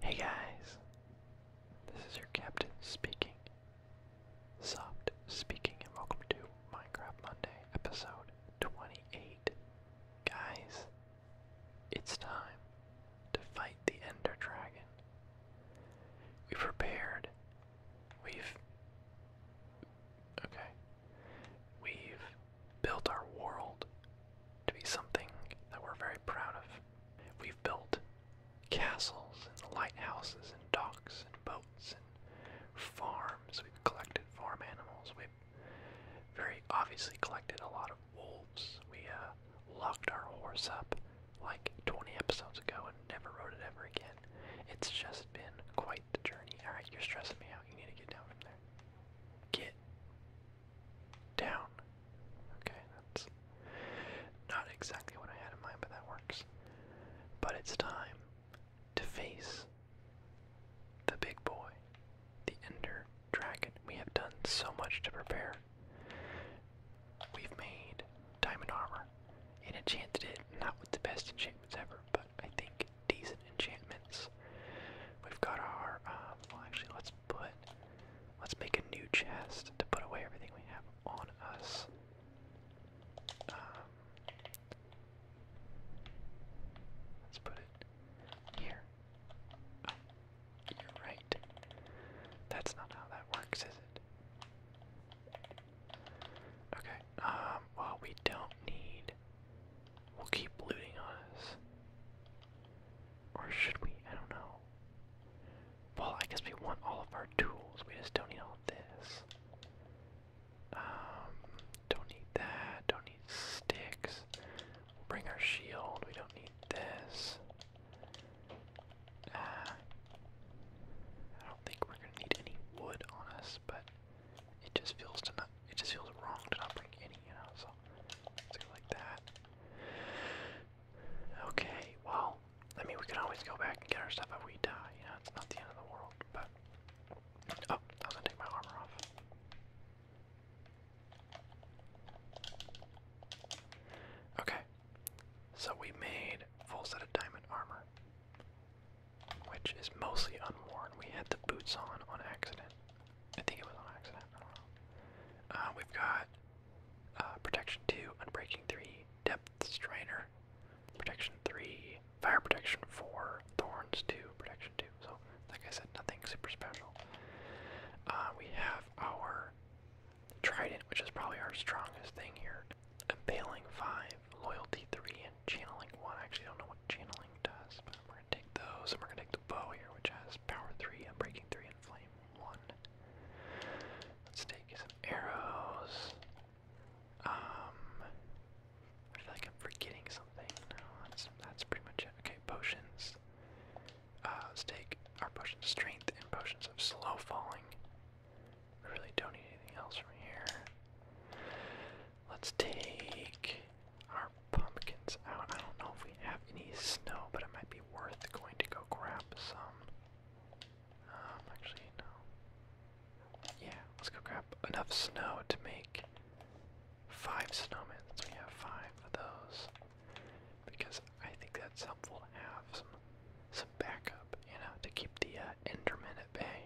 Hey guys, this is your captain speaking. Soft speaking, and welcome to Minecraft Monday, episode 28. Guys, it's time to fight the Ender Dragon. We prepared. We've. Okay. We've built our world to be something that we're very proud of. We've built castles and lighthouses and docks and boats and farms. We've collected farm animals. we very obviously collected a lot of wolves. We uh, locked our horse up like 20 episodes ago and never rode it ever again. It's just been quite the journey. Alright, you're stressing me out. You need to get down from there. Get down. Okay, that's not exactly what I had in mind, but that works. But it's time to face the big boy the Ender Dragon. We have done so much to prepare. We've made diamond armor and enchanted it, not with the best enchantments ever, but I think decent enchantments. We've got our, um, well actually let's put, let's make a new chest to put away everything we have on us. Um, let's put it here you're right. That's not how that works, is it? Okay, um, well, we don't need. We'll keep looting on us. Or should we? I don't know. Well, I guess we want all of our tools. We just don't need all this. Um, don't need that. Don't need sticks. Bring our shield. We don't need this. Ah. I don't think we're gonna need any wood on us, but it just feels to not. It just feels wrong to not bring any, you know. So let's go like that. Okay. Well, I mean, we can always go back and get our stuff if we die. You know, it's not the end of the world. But oh, I was gonna take my armor off. Okay, so we made full set of diamond armor, which is mostly unworn. We had the boots on on accident. I think it was on accident. Uh, we've got uh, protection two, unbreaking three, depth strainer, protection three, fire protection four, thorns two, protection two. So like I said, nothing super special. Uh, we have our trident, which is probably our strongest thing here. Impaling 5, Loyalty 3, and Channeling 1. I actually don't know what Channeling does, but we're going to take those, and we're going to take the bow here, which has Power 3, and Breaking 3, and Flame 1. Let's take some arrows. Um, I feel like I'm forgetting something. No, that's, that's pretty much it. Okay, potions let's uh, take our potions of strength and potions of slow falling. We really don't need anything else from here. Let's take our pumpkins out. I don't know if we have any snow, but it might be worth going to go grab some. Um, actually, no. Yeah, let's go grab enough snow to make five snowmen. we have five of those because I think that's helpful to have some some backup, you know, to keep the uh, at bay.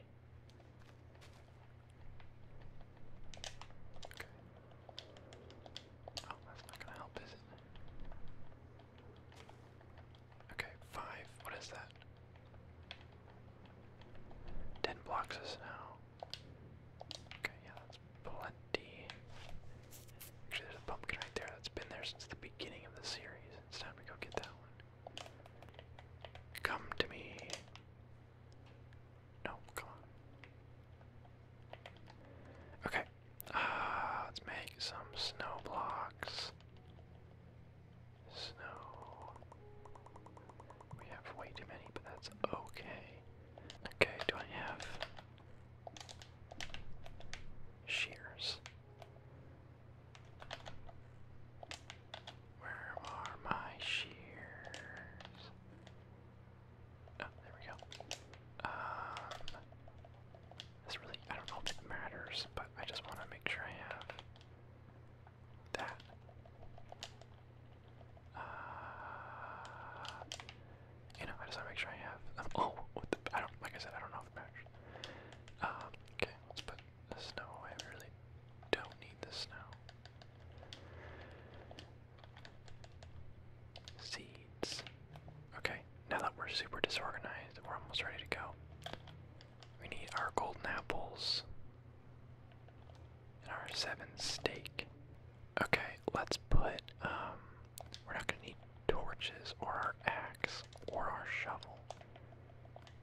Okay. Oh, that's not gonna help, is it? Okay, five. What is that? Ten blocks of Okay, yeah, that's plenty. Actually, there's a pumpkin right there that's been there since the beginning of the series. It's time to go get that one. Come to me. No, come on. Okay, uh, let's make some snow blocks. Snow. We have way too many, but that's okay. Okay, do I have shears? Where are my shears? Oh, there we go. Um, this really, I don't know if it matters, but I just want to make sure I have that. Uh, you know, I just want to make sure I have. oh, I don't. Like I said, I don't know if it matters. Um, okay, let's put the snow away. We really don't need the snow. Seeds. Okay, now that we're super disorganized, we're almost ready to go. We need our golden apples and our seven steak. Okay, let's put, um, we're not gonna need torches or our axe or our shovel.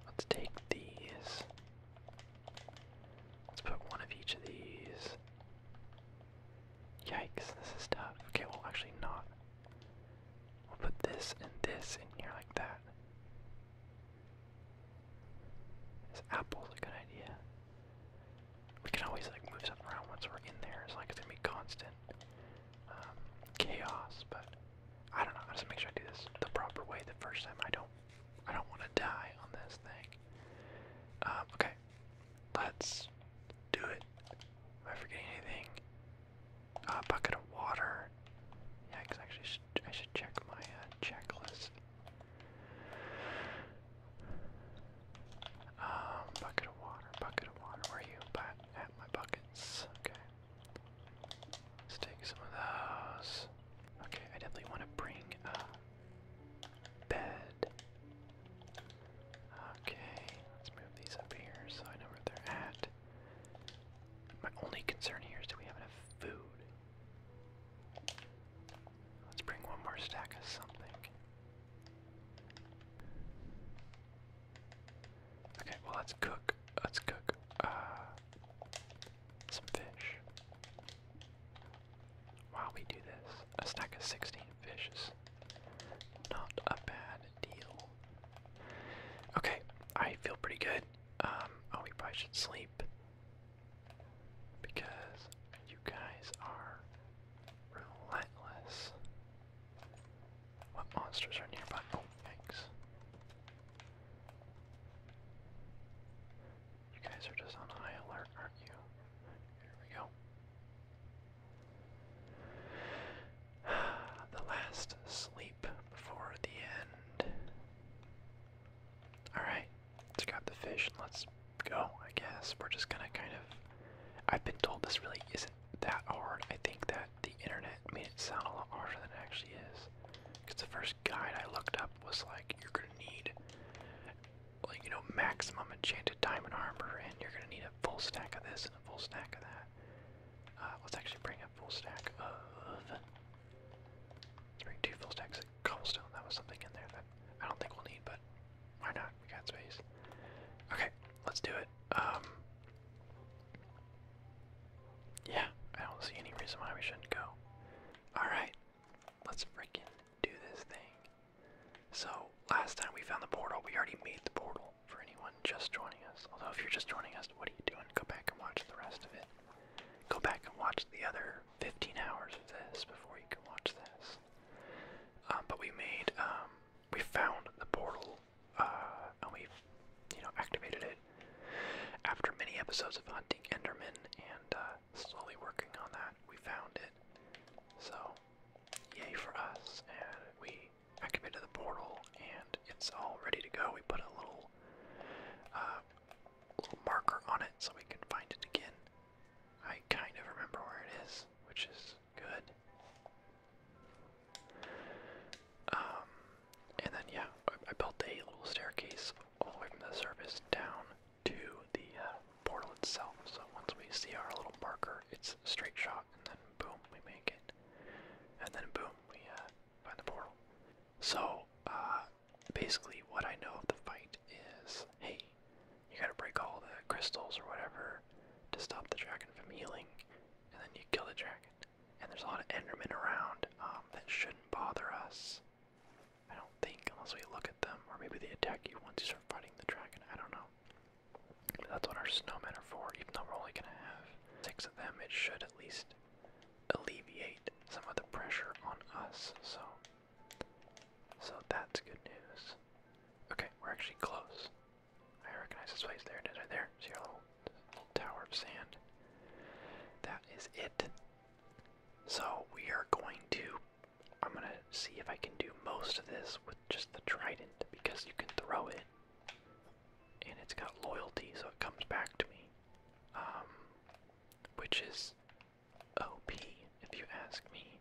Let's take these. Let's put one of each of these. Yikes, this is tough. Okay, well, actually, not. We'll put this and this in here like that. This apple's a good idea we can always like move something around once we're in there. It's like it's gonna be constant um, chaos. But I don't know. I just make sure I do this the proper way the first time. I don't. I don't want to die on this thing. Um, okay, let's do it. Am I forgetting anything? A uh, bucket of water. Yeah, actually, I should, I check my uh, checklist. Um, bucket of water, bucket of water. Where you? But at my buckets. Okay. Let's take some of those. Okay, I definitely want to bring a bed. Okay, let's move these up here so I know where they're at. My only concern here is do we have enough food? Let's bring one more stack of something. Okay, well let's cook. Let's cook uh, some fish. While we do this, a stack of 16 fishes, not a bad deal. Okay, I feel pretty good. Um, oh, we probably should sleep because you guys are relentless. What monsters are nearby? Oh, thanks. You guys are just on high alert, aren't you? Here we go. The last sleep before the end. Alright, Let's grab the fish and let's go, I guess. We're just gonna kind of. I've been told this really isn't that hard. I think that the internet made it sound a lot harder than it actually is. Because the first guide I looked up was like, you're gonna need, like, you know, maximum enchanted diamond armor, and you're gonna need a full stack of this and a full stack of that. Uh, let's actually bring a full stack of. let bring two full stacks of cobblestone. That was something in there that I don't think we'll need, but why not? We got space. Okay, let's do it. Um, yeah, I don't see any reason why we shouldn't go. Alright, let's freaking do this thing. So, last time we found the portal, we already made the portal for anyone just joining us. Although, if you're just joining us, what are you doing? Go back and watch the rest of it. Go back and watch the other 15 hours of this before you can watch this. Um, but we made, um, we found the portal, uh, and we, you know, activated it after many episodes of hunting Enderman and uh, slowly working on that. We found it, so yay for us! And we activated the portal, and it's all ready to go. We put a little, uh, little marker on it so we can find it again. I kind of remember where it is, which is good. Um, and then yeah, I, built a little staircase all the way from the surface down to the uh, portal itself. So once we see our little marker, it's a straight shot, and then boom, we make it, and then boom, we uh, find the portal. So uh, basically, what I know of the fight is, hey, you gotta break all the crystals or whatever to stop the dragon from healing, and then you kill the dragon. And there's a lot of Endermen around um, that shouldn't bother us. I don't think, unless we look at them, or maybe they attack you once you start fighting the dragon. I don't know. that's what our snowmen are for. Even though we're only gonna have six of them, it should at least alleviate some of the pressure on us. So so that's good news. Okay, we're actually close. I recognize this place. There it is right there. See our little, little tower of sand. That is it. So we are going to. I'm gonna see if I can do most of this with just the trident because you can throw it, and it's got loyalty, so it comes back to me, um, which is OP, if you ask me.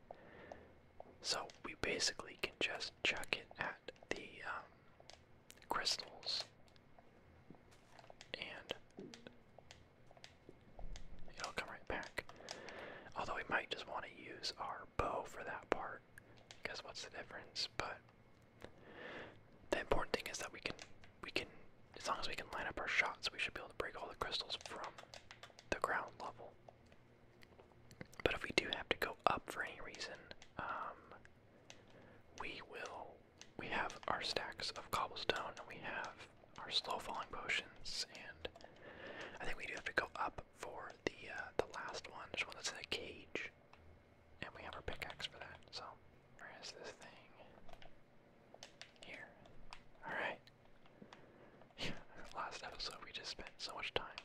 So we basically can just chuck it at the um, crystals, and it'll come right back. Although we might just want to use our bow for that part, because what's the difference? But the important thing is that we can, we can, as long as we can line up our shots, we should be able to break all the crystals from the ground level. But if we do have to go up for any reason, um, we will. We have our stacks of cobblestone, and we have our slow falling potions, and I think we do have to go up for the uh, the last one. There's one that's in a cage, and we have our pickaxe for that. So, where is this thing? Here. All right. Last episode we just spent so much time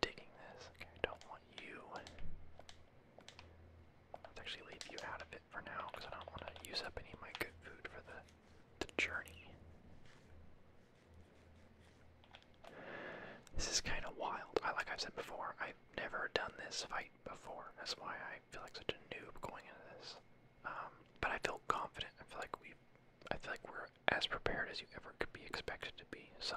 digging this. Okay, don't want you. Let's actually leave you out of it for now because I don't want to use up any of my good food for the the journey. This is kind of wild. I like I've said before, I've never done this fight before. That's why I feel like such a noob going into this. Um, but I feel confident. I feel like we, I feel like we're as prepared as you ever could be expected to be. So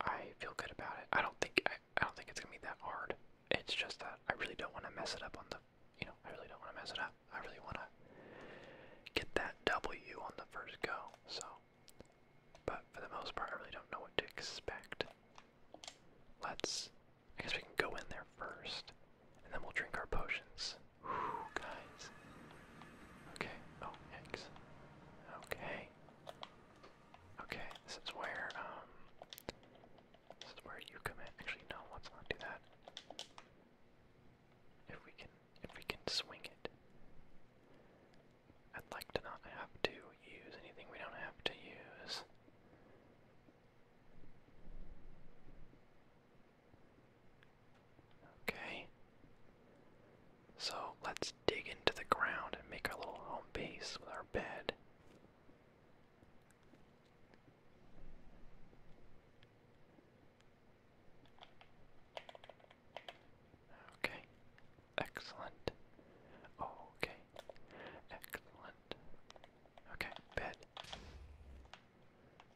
I feel good about it. I don't think I, I don't think it's gonna be that hard. It's just that I really don't want to mess it up on the, you know, I really don't want to mess it up. I really want to get that W on the first go. So, but for the most part, I really don't know what to expect. Let's I guess we can go in there first, and then we'll drink our potions. Whew, guys. Okay. Oh, eggs. Okay. Okay, this is where, um, this is where you come in. Actually, no, let's not do that. If we can, if we can swing it. I'd like to not have to use anything we don't have to use. Okay. So let's dig into the ground and make our little home base with our bed. Okay. Excellent. Okay. Excellent. Okay, bed.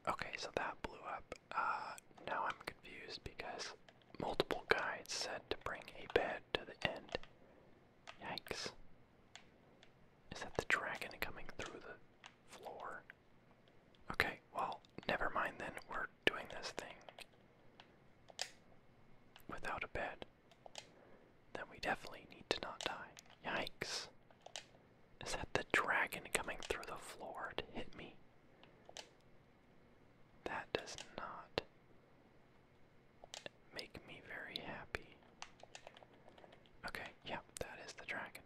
Okay, so that blew up. Uh, now I'm confused because multiple guides said to bring a bed to the end. Yikes. Is that the dragon coming through the floor? Okay, well, never mind then. We're doing this thing without a bed. Then we definitely need to not die. Yikes. Is that the dragon coming through the floor to hit me? That does not make me very happy. Okay, yeah, that is the dragon.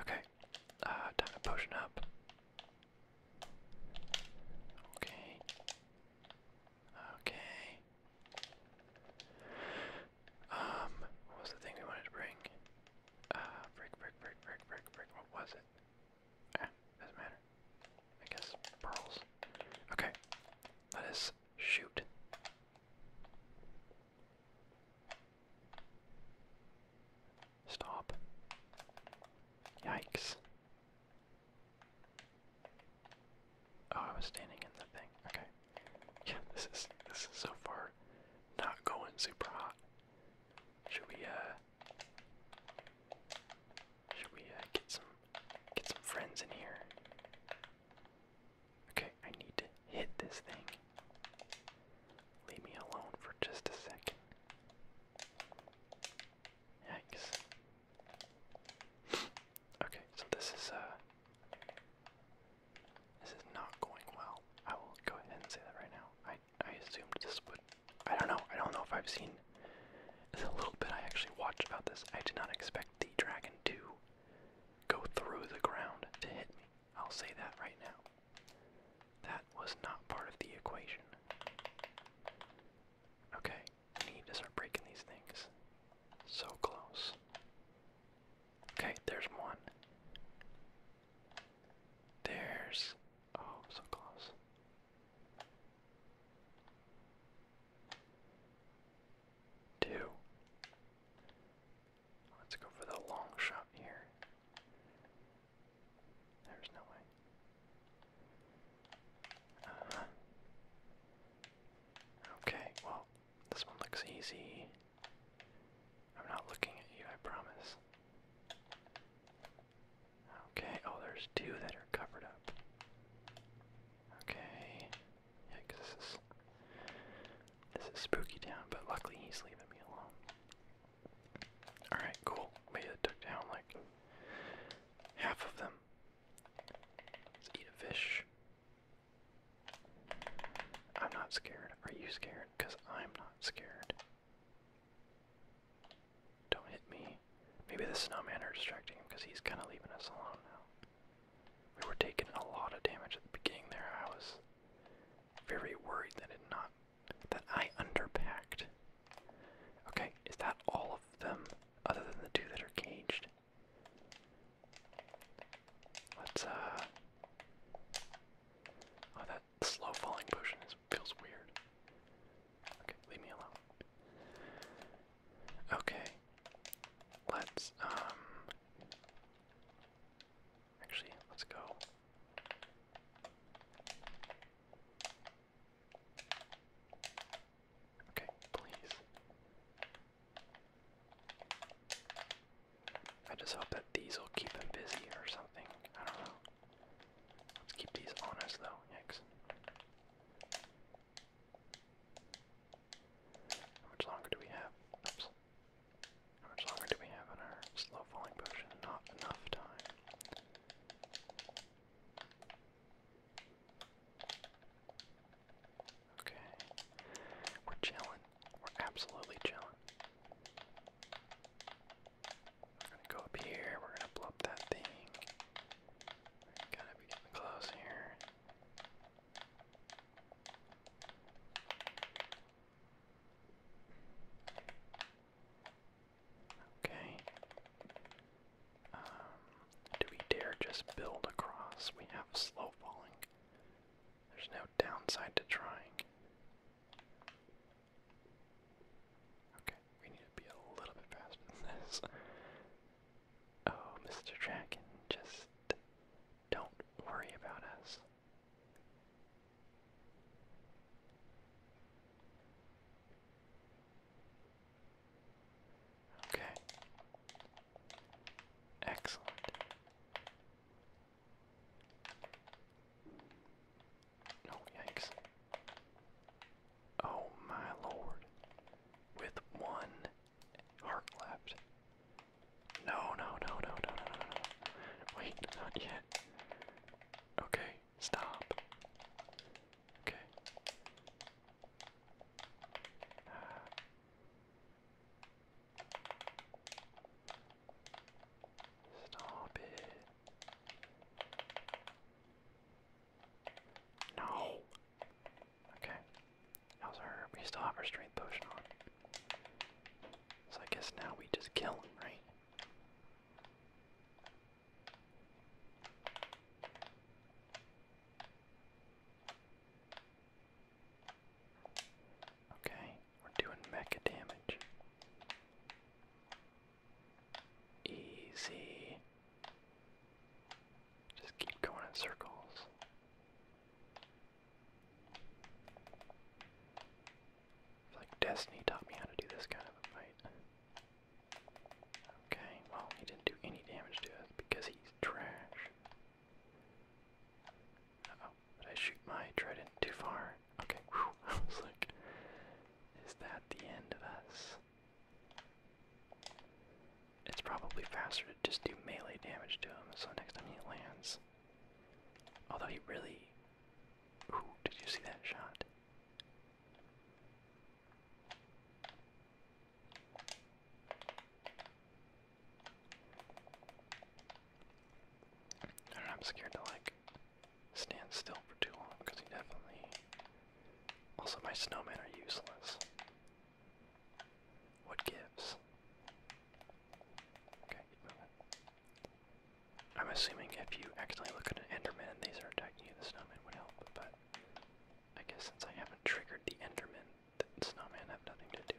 Okay, uh, time to potion up. Okay. Okay. Um, what was the thing we wanted to bring? Uh, brick, brick, brick, brick, brick, brick. What was it? Ah, doesn't matter. I guess pearls. Okay, let us shoot. Stop. Yikes. Oh, I was standing in the thing. Okay. Yeah, this is this is so far not going super hot. Should we uh should we uh, get some get some friends in here? Okay, I need to hit this thing. Leave me alone for just a second. Yikes. okay, so this is uh this is not going well. I will go ahead and say that right now. I I assumed this would. I don't know. I don't know if I've seen a little bit I actually watched about this. I did not expect the dragon to go through the ground to hit me. I'll say that right now. That was not part of the equation. Okay, need to start breaking these things. So close. Okay, there's one. There's. Oh, so close. Two. Let's go for the long shot here. There's no way. Uh-huh. okay, well, this one looks easy. I'm not looking at you, I promise. Okay, oh, there's two that are covered up. Okay, yeah, this is, this is spooky town, but luckily he's leaving me alone. Alright, cool. We took down like half of them. Let's eat a fish. I'm not scared. Are you scared? Because I'm not scared. Don't hit me. Maybe the snowman are distracting him because he's kind of leaving us alone now. We were taking a lot of damage at the beginning there. I was very worried that it not that I underpacked. Okay, is that all of them other than the two that are caged? Let's uh, Oh that slow falling potion feels weird. Okay, leave me alone. Okay. Let's um actually let's go. Okay, please. I just hope that these will keep him busy or something. I don't know. Let's keep these honest though. Yikes. How much longer do we have? Oops. How much longer do we have in our slow falling potion? Not enough time. Okay. We're chilling. We're absolutely chilling. We're gonna go up here. We're gonna blow up that thing. We gotta be getting close here. Okay. Um, do we dare just build across? We have slow falling. There's no downside to trying. Okay, we need to be a little bit faster than this. Oh, Mr. Dragon, just don't worry about us. Okay. Excellent. Oh, yikes. Oh, my lord. With one heart left. No, no, no, no, no, no, no, no. Wait, not yet. Okay, stop. Okay. Ah. Stop it. No. Okay. How's our we still have our strength potion on. So I guess now we just kill him, right? Okay, we're doing mecha damage. Easy. Just keep going in circles. It's like Destiny taught me how to do this kind of a fight. Okay, well, he didn't do any damage to us because he's trash oh, did I shoot my trident too far? Okay, I was like, is that the end of us? It's probably faster to just do melee damage to him, so next time he lands. Although he really. Ooh, did you see that shot? I am scared to like stand still for too long because he definitely. Also, my snowmen are useless. What gives? Okay, I'm assuming if you accidentally look at an Enderman and these are attacking you, the snowman would help, but I guess since I haven't triggered the Enderman, that snowman have nothing to do.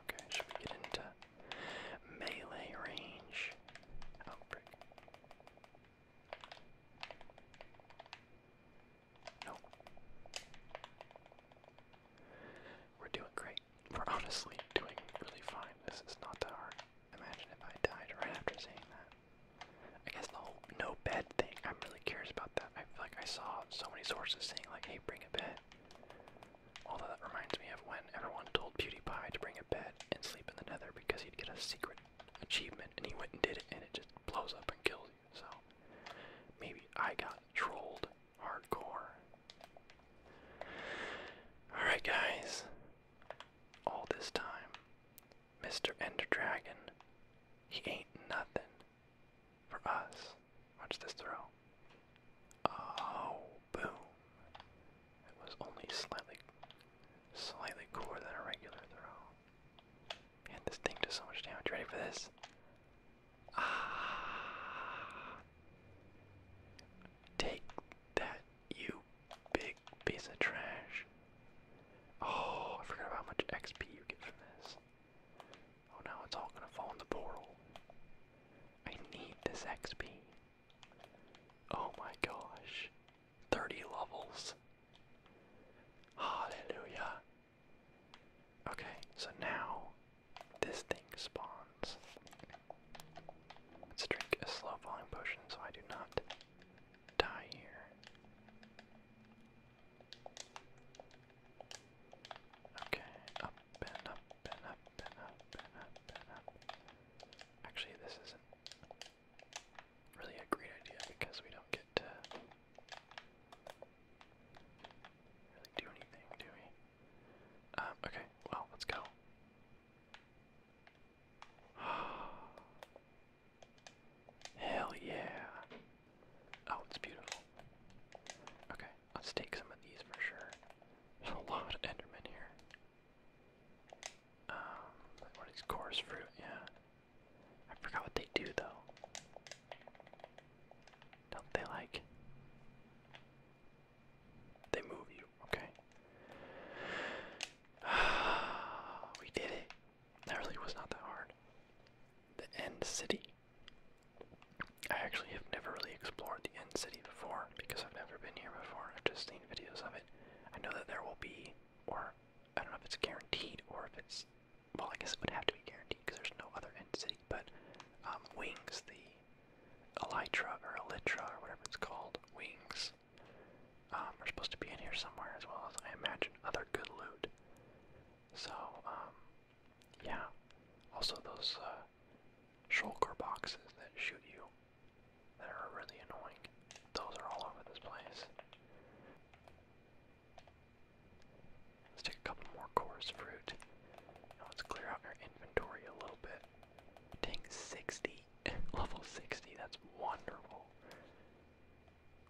Okay, should we get into melee range? Oh, frick. We're doing great. We're honestly doing really fine. This is not that hard. Imagine if I died right after saying that. I guess the whole no bed thing, I'm really curious about that. I feel like I saw so many sources saying, like, hey, bring a bed. Although that reminds me of when everyone told PewDiePie to bring a bed and sleep in the nether because he'd get a secret achievement, and he went and did it, and it just blows up and kills you. So maybe I got trolled hardcore. Alright, guys. All this time, Mr. Ender Dragon, he ain't nothing for us. Watch this throw. Oh, boom. It was only slightly, slightly cooler than a regular throw. Man, this thing does so much damage. ready for this? Ah! Take that, you big piece of trash. Oh, I forgot about how much XP you get from this. Oh, now it's all gonna fall in the portal. I need this XP. Oh my gosh. 30 levels. Hallelujah. Okay, so now this thing spawns. Let's drink a slow falling potion so I do not die here. Okay, up and up and up and up and up and up. Actually, this isn't really a great idea because we don't get to really do anything, do we? Um, okay, well, let's go. Hell yeah. Oh, it's beautiful. Okay, let's take some of these for sure. a lot of Endermen here. Um, what is coarse fruit? Yeah. I forgot what they do though. Don't they like. They move you. Okay. we did it. That really was not that hard. The End City. I actually have never really explored the End City before because I've never been here before. I've just seen videos of it. I know that there will be, or I don't know if it's guaranteed or if it's, well, I guess it would have to be guaranteed because there's no other End City, but um, Wings, the Elytra or Elytra or whatever it's called, Wings we're um, supposed to be in here somewhere as well as I imagine other good loot. So, um, yeah. Also those uh, shulker boxes that shoot you that are really annoying. Those are all over this place. Let's take a couple more coarse fruit. Now let's clear out our inventory a little bit. Dang, 60. Level 60, that's wonderful.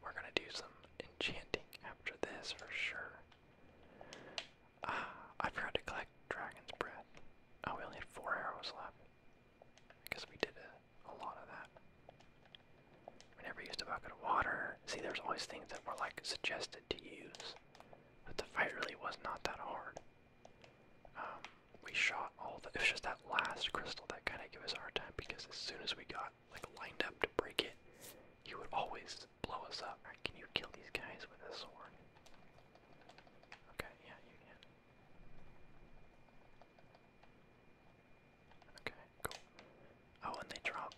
We're gonna do some enchanting after this for sure. Ah, I forgot to collect Dragon's Breath. Oh, we only had four arrows left. I we did a lot of that. We never used a bucket of water. See, there's always things that were like suggested to use, but the fight really was not that hard. Um, we shot all the. It was just that last crystal that kind of gave us our time because as soon as we got like lined up to break it, he would always blow us up. can you kill these guys with a sword? Okay, yeah, you can. Okay, cool. Oh, and they drop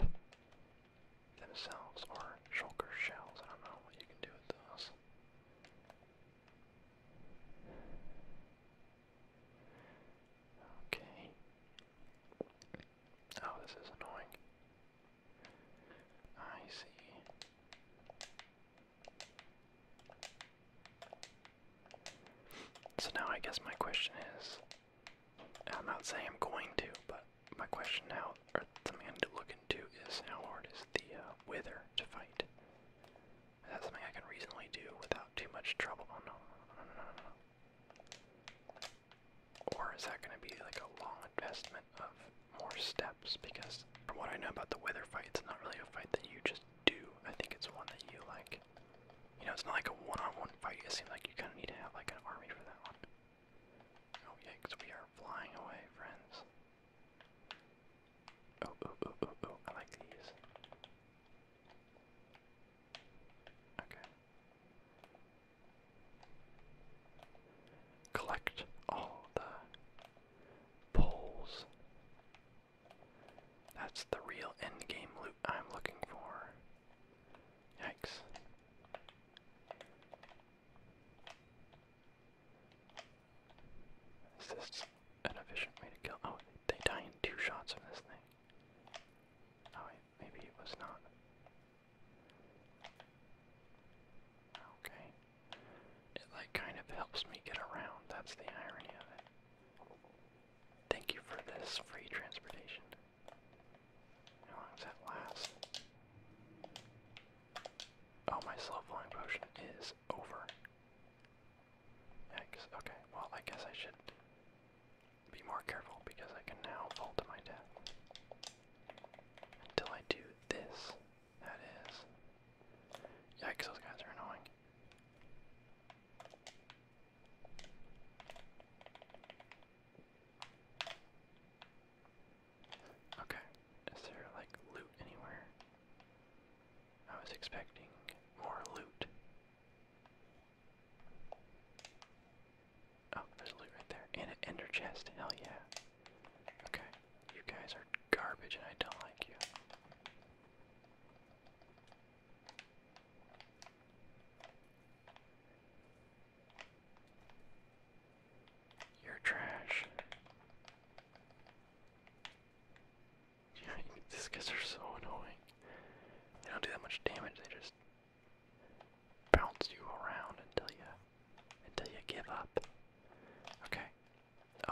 themselves or shulker shells. I don't know what you can do with those. Okay. Oh, this is annoying. I see. So now I guess my question is I'm not saying I'm going to, but my question now, or something I need to look into, is how hard is the uh, wither to fight? Is that something I can reasonably do without too much trouble? Oh, or is that going to be like a long investment of more steps? Because from what I know about the weather fight, it's not really a fight that you just do. I think it's one that you like. You know, it's not like a one-on-one fight. It seems like you kind of need to have like an army for that one. Oh yikes! We are flying away, friends. Oh, oh, oh, oh, oh, I like these. Okay. Collect all the poles. That's the real end game loot I'm looking for. Yikes. Is this an efficient way to kill? Oh, they die in two shots from this thing. Oh, maybe it was not. Okay. It, like, kind of helps me get around. That's the irony of it. Thank you for this free transportation. How long does that last? Oh, my slow flying potion is over. X. Okay, well, I guess I should be more careful because I can now fall to my death. Until I do this, that is. Yikes, those guys are annoying. Okay, is there like loot anywhere? I was expecting more loot. Oh, there's loot right there. And an ender chest. Hell yeah. Okay. You guys are garbage and I don't like you. You're trash. These guys are so annoying. They don't do that much damage, they just bounce you around until you until you give up. Okay.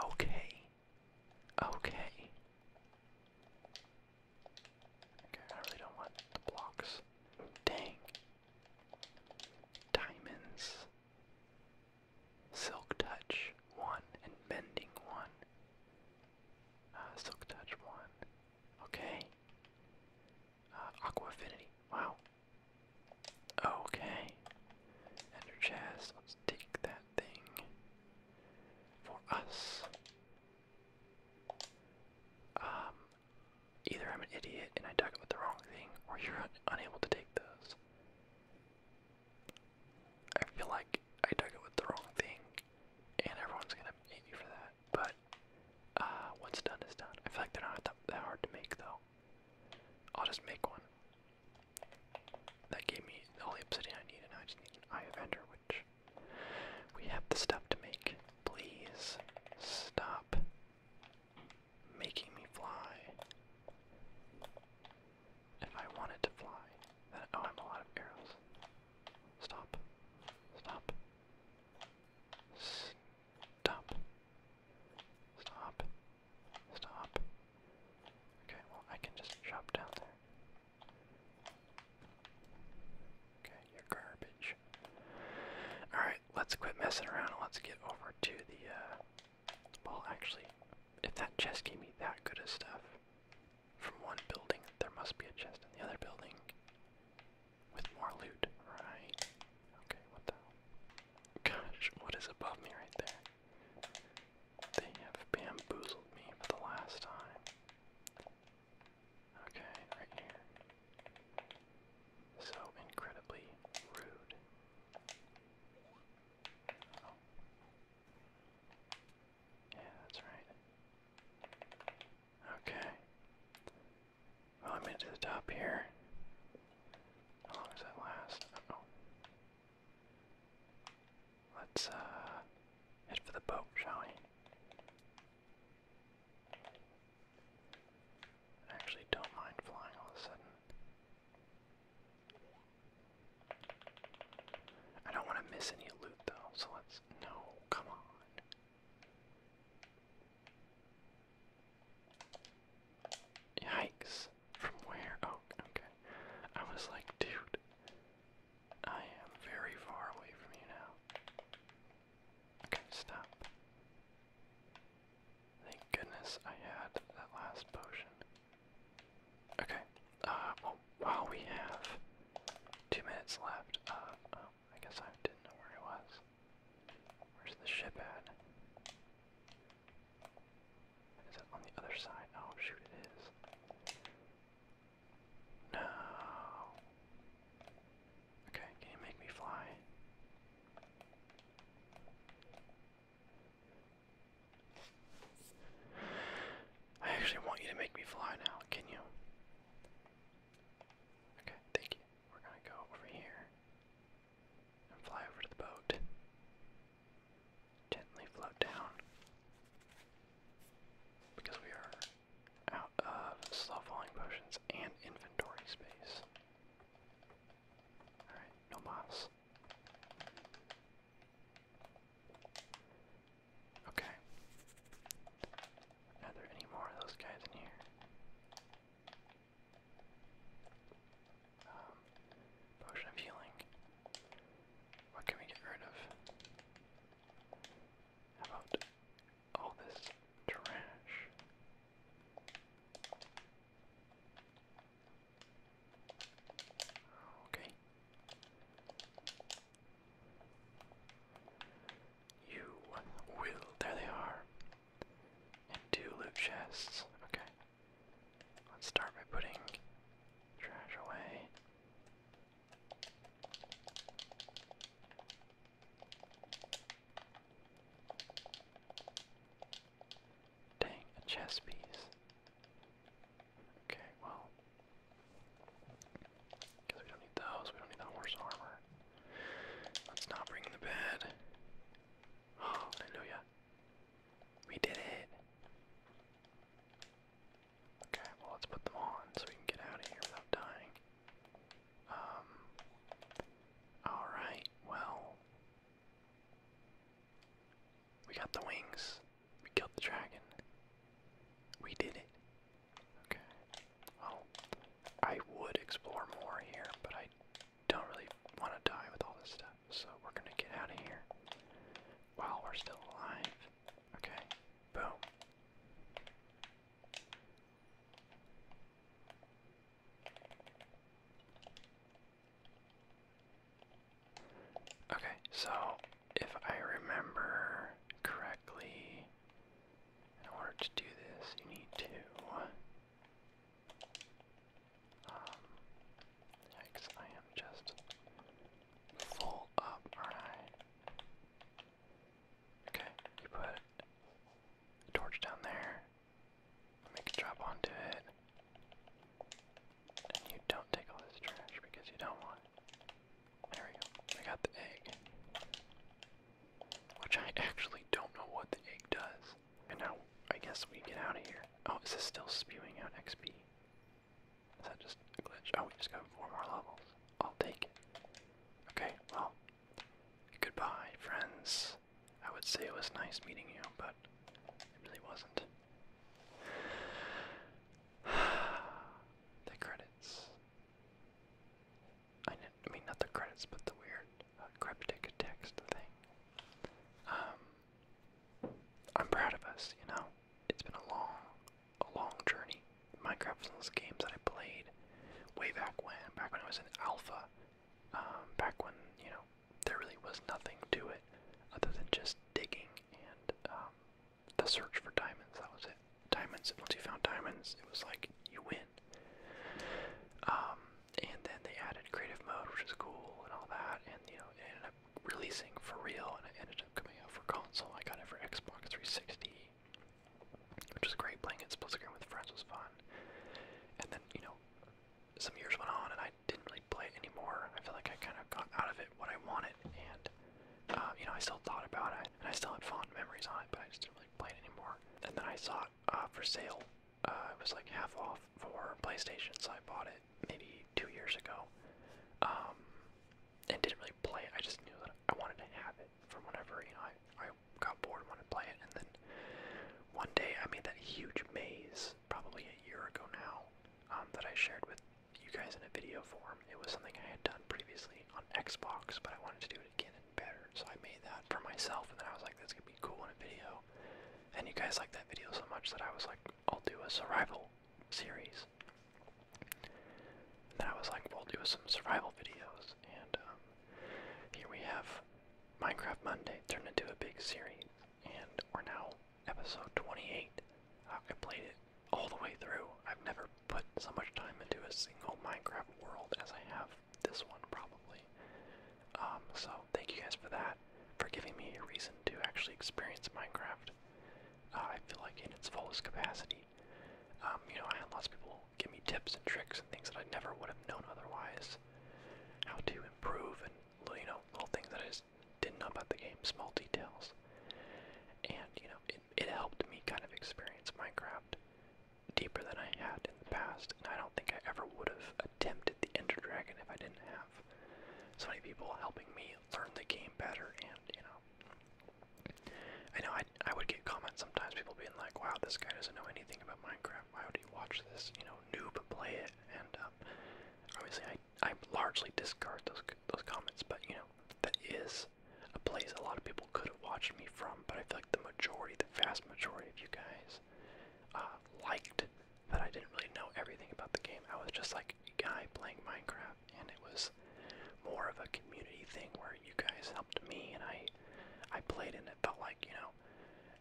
Okay. Okay. Okay, I really don't want the blocks. Dang. Diamonds. Silk Touch 1 and Bending 1. Uh, Silk Touch 1. Okay. Uh, Aqua Affinity. Wow. Okay. Ender Chest. Let's take that thing for us. Um, either I'm an idiot and I dug up the wrong thing, or you're unable to take those. I feel like I dug it with the wrong thing, and everyone's gonna hate me for that. But uh, what's done is done. I feel like they're not that, hard to make though. I'll just make one. That gave me the obsidian I need, and I just need an eye of which we have the stuff to make. Please stop making me fly. If I wanted to fly, then oh, I'm a lot of arrows. Stop. Stop. Stop. Stop. Stop. Okay, well, I can just drop down there. Okay, you're garbage. Alright, let's quit messing around and let's get over to the, uh, well, actually, if that chest gave me that good of stuff from one building, there must be a chest in the other building with more loot, right? Okay, what the hell? Gosh, what is above me right there? They have bamboozled me for the last time. Okay, right here. So incredibly rude. Oh. Yeah, that's right. Okay. Well, I made it the top here. How long does that last? Uh oh. Let's uh head for the boat, shall we? I actually don't mind flying all of a sudden. I don't want to miss any loot though, so let's. No, come on. Yikes. From where? Oh, okay. I was like, dude, I am very far away from you now. Okay, stop. Thank goodness I had that last potion. Okay. Uh, well, while we have two minutes left, uh, oh, I guess I didn't know where it was. Where's the ship at? Is it on the other side? Oh, shoot, it is. No. Okay, can you make me fly? I actually want you to make me fly now, can you? Okay, thank you. We're gonna go over here and fly over to the boat. Gently float down. Because we are out of slow falling potions and inventory space. Alright, no miles. Okay. Are there any more of those guys in here? Um, potion of healing. What can we get rid of? How about all this trash? Okay. You will. There they are. And two loot chests. Okay. Let's start by putting trash away. Dang, a chess piece. Okay, well. Because we don't need those, we don't need the horse armor. Let's not bring the bed. hallelujah. We did it. Okay, well let's put them on so we can get out of here without dying. Um Alright, well we got the wings. We killed the dragon. We did it. Okay. Well, I would explore more here, but I don't really want to die with all this stuff, so we're gonna get out of here while we're still alive. Okay. Boom. Okay, so if I remember correctly, in order to do this, you need to. Um, yikes, I am just full up, aren't I? Okay, you put torch down there, make it drop onto it, you don't take all this trash because you don't want There we go. I got the egg. Which I actually don't know what the egg does. And now I guess we get out of here. Oh, this is still spewing out XP? Is that just a glitch? Oh, we just got four more levels. I'll take it. Okay, well, goodbye, friends. I would say it was nice meeting you, but it really wasn't. the credits. I, I mean, not the credits, but the weird uh, cryptic text thing. Um, I'm proud of us, you know. It's been a long, a long journey. Minecraft was one of those games that I played way back when, back when it was in alpha, um, back when you know there really was nothing to it other than just digging and um, the search for diamonds. That was it. Diamonds. Once you found diamonds, it was like you win. Um, and then they added creative mode, which is cool and all that. And you know, ended up releasing for real, and ended up coming out for console. I got it for Xbox 360, which was great. Playing it split with friends was fun. And then you know, some years went on, and I didn't really play it anymore. I feel like I kind of got out of it what I wanted, and uh, you know, I still thought about it, and I still had fond memories on it, but I just didn't really play it anymore. And then I saw it uh, for sale. Uh, it was like half off for PlayStation, so I bought it maybe two years ago, um, and didn't really play it. I just knew that I wanted to have it from whenever you know I I got bored and wanted to play it, and then one day I made that huge maze probably a year ago now um, that I shared with you guys in a video form. It was something I had done previously on Xbox, but I wanted to do it again and better. So I made that for myself, and then I was like, "That's gonna be cool in a video. And you guys liked that video so much that I was like, I'll do a survival series. And then I was like, we'll do some survival videos. And um, here we have Minecraft Monday turned into a big series. And we're now episode 28. I played it all the way through. I've never put so much time into a single Minecraft world as I have this one, probably. Um, so, thank you guys for that, for giving me a reason to actually experience Minecraft. Uh, I feel like in its fullest capacity. Um, you know, I had lots of people give me tips and tricks and things that I never would have known otherwise. How to improve and, little, you know, little things that is just didn't know about the game, small details. And, you know, it, it helped me kind of experience Minecraft deeper than I had in the past, and I don't think I ever would have attempted the Ender Dragon if I didn't have so many people helping me learn the game better. And, you know, I know I, I would get comments sometimes, people being like, wow, this guy doesn't know anything about Minecraft. Why would you watch this, you know, noob play it? And um, obviously, I I largely discard those those comments, but you know that is a place a lot of people could have watched me from. But I feel like the majority, the vast majority of you guys, uh, liked that I didn't really know everything about the game. I was just like a guy playing Minecraft, and it was more of a community thing where you guys helped me, and I I played, and it felt like you know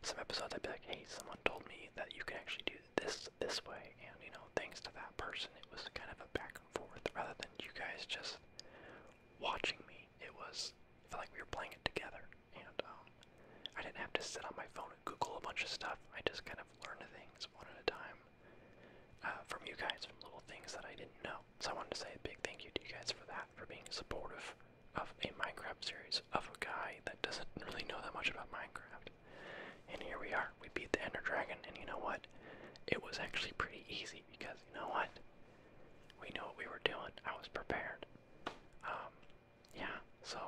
some episodes I'd be like, hey, someone told me that you can actually do this this way and you know thanks to that person it was kind of a back and forth rather than you guys just watching me it was it felt like we were playing it together and um I didn't have to sit on my phone and google a bunch of stuff I just kind of learned things one at a time uh, from you guys from little things that I didn't know so I wanted to say a big thank you to you guys for that for being supportive of a Minecraft series of a guy that doesn't really know that much about Minecraft and here we are. We beat the Ender Dragon, and you know what? It was actually pretty easy because you know what? We knew what we were doing. I was prepared. Um, yeah, so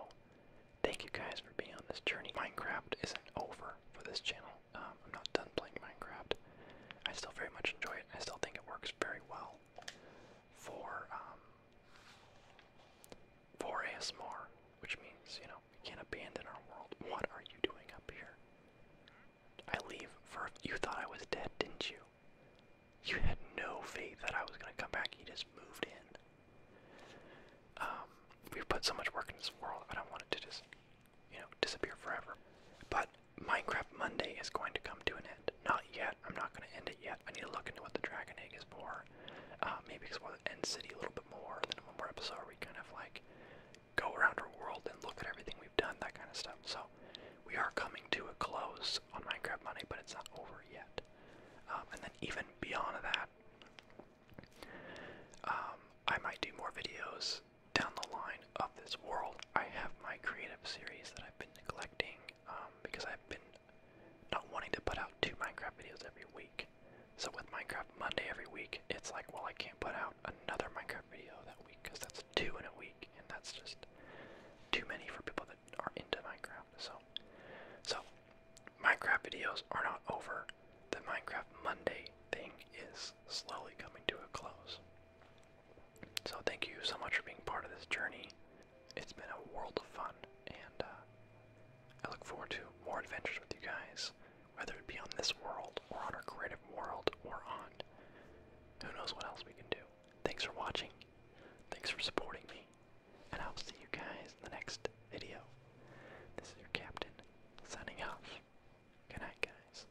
thank you guys for being on this journey. Minecraft isn't over for this channel. Um, I'm not done playing Minecraft. I still very much enjoy it. I still think it works very well for um, for ASMR, which means you know we can't abandon our world. What are you doing up here? I leave for. You thought I was dead, didn't you? You had no faith that I was gonna come back. You just moved in. Um, we've put so much work in this world. I don't want it to just, you know, disappear forever. But Minecraft Monday is going to come to an end. Not yet. I'm not gonna end it yet. I need to look into what the dragon egg is for. Uh, maybe it's the end city a little bit more, and one more episode we kind of like go around our world and look at everything we've done, that kind of stuff. So we are coming to a close on Minecraft Money, but it's not over yet. Um, and then even beyond that, um, I might do more videos down the line of this world. I have my creative series that I've been neglecting um, because I've been not wanting to put out two Minecraft videos every week. So with Minecraft Monday every week, it's like, well, I can't put out another Minecraft video that week because that's two in a week, and that's just too many for people that are into Minecraft. So, so Minecraft videos are not over. The Minecraft Monday thing is slowly coming to a close. So thank you so much for being part of this journey. It's been a world of fun, and uh, I look forward to more adventures with you guys whether it be on this world or on our creative world or on who knows what else we can do. Thanks for watching. Thanks for supporting me. And I'll see you guys in the next video. This is your captain signing off. Good night, guys.